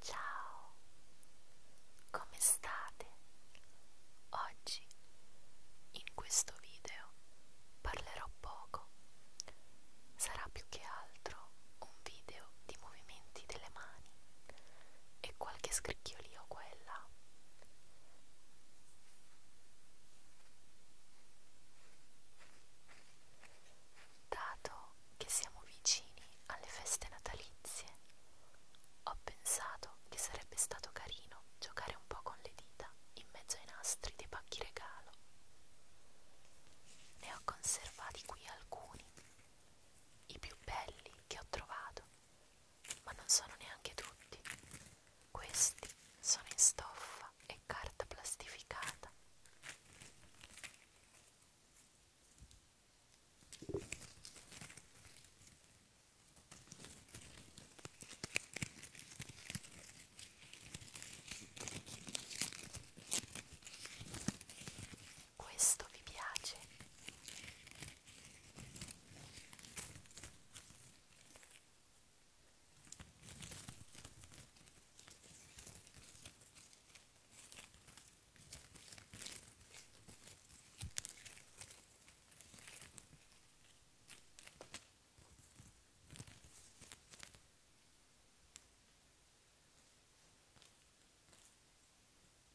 Ciao, come state? Oggi in questo video parlerò poco, sarà più che altro un video di movimenti delle mani e qualche scricchiolio qua e là. Dato che siamo vicini alle feste natalizie, ho pensato che sarebbe stato carino giocare un po' con le dita in mezzo ai nastri dei pacchi regalo. Ne ho conservati qui alcuni i più belli che ho trovato, ma non sono neanche tutti. Questi sono in stoffa e carta plastificata questo vi piace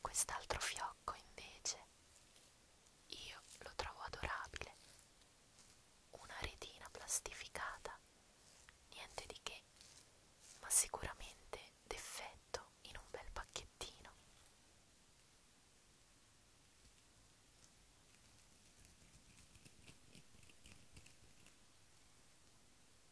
Quest'altro fiocco invece io lo trovo adorabile, una retina plastificata, niente di che, ma sicuramente d'effetto in un bel pacchettino.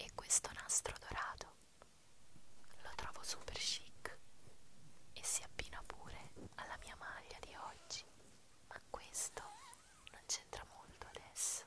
E questo nastro dorato lo trovo super chic e si abbina pure alla mia maglia di olio oggi, ma questo non c'entra molto adesso.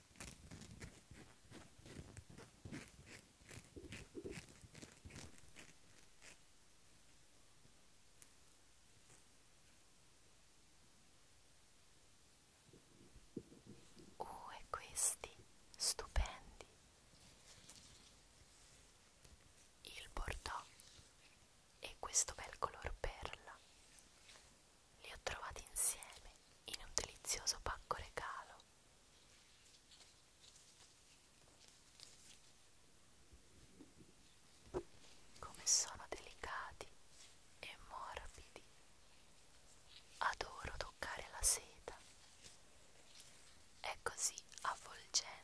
Uh, e questi stupendi. Il bordeaux e questo bel color perla li ho trovati insieme in un delizioso pacco regalo. Come sono delicati e morbidi. Adoro toccare la seta. È così avvolgente.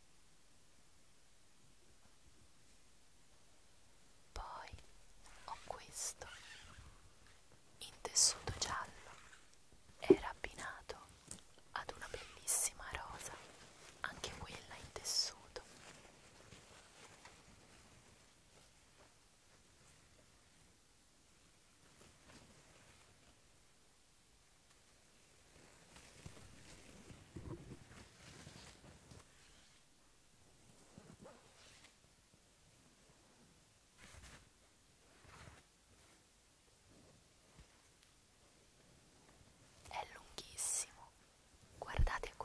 Poi ho questo in tessuto giallo era abbinato ad una bellissima rosa, anche quella in tessuto. È lunghissimo, guardate qua.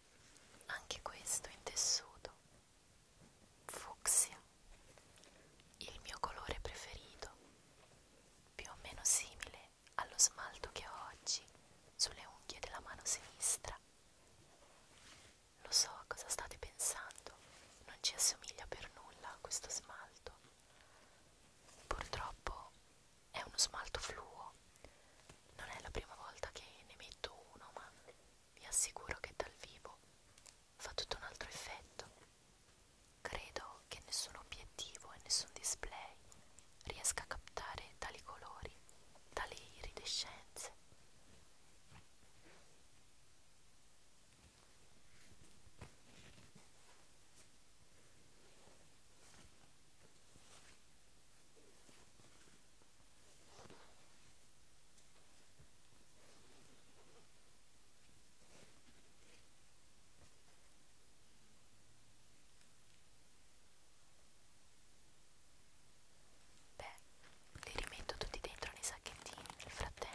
anche questo in tessuto, fucsia, il mio colore preferito, più o meno simile allo smalto che ho oggi sulle unghie della mano sinistra. Lo so cosa state pensando, non ci assomiglia per nulla a questo smalto. Purtroppo è uno smalto fluo non è la prima volta che ne metto uno ma vi assicuro che dal vivo fa tutto un altro effetto credo che nessun obiettivo e nessun display riesca a captare tali colori tali iridescenze Beh, li rimetto tutti dentro nei sacchettini nel frattempo.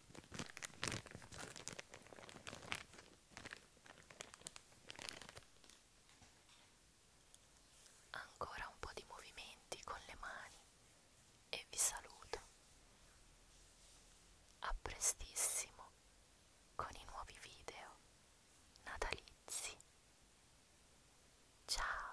Ancora un po' di movimenti con le mani e vi saluto. A prestissimo con i nuovi video natalizi. Ciao!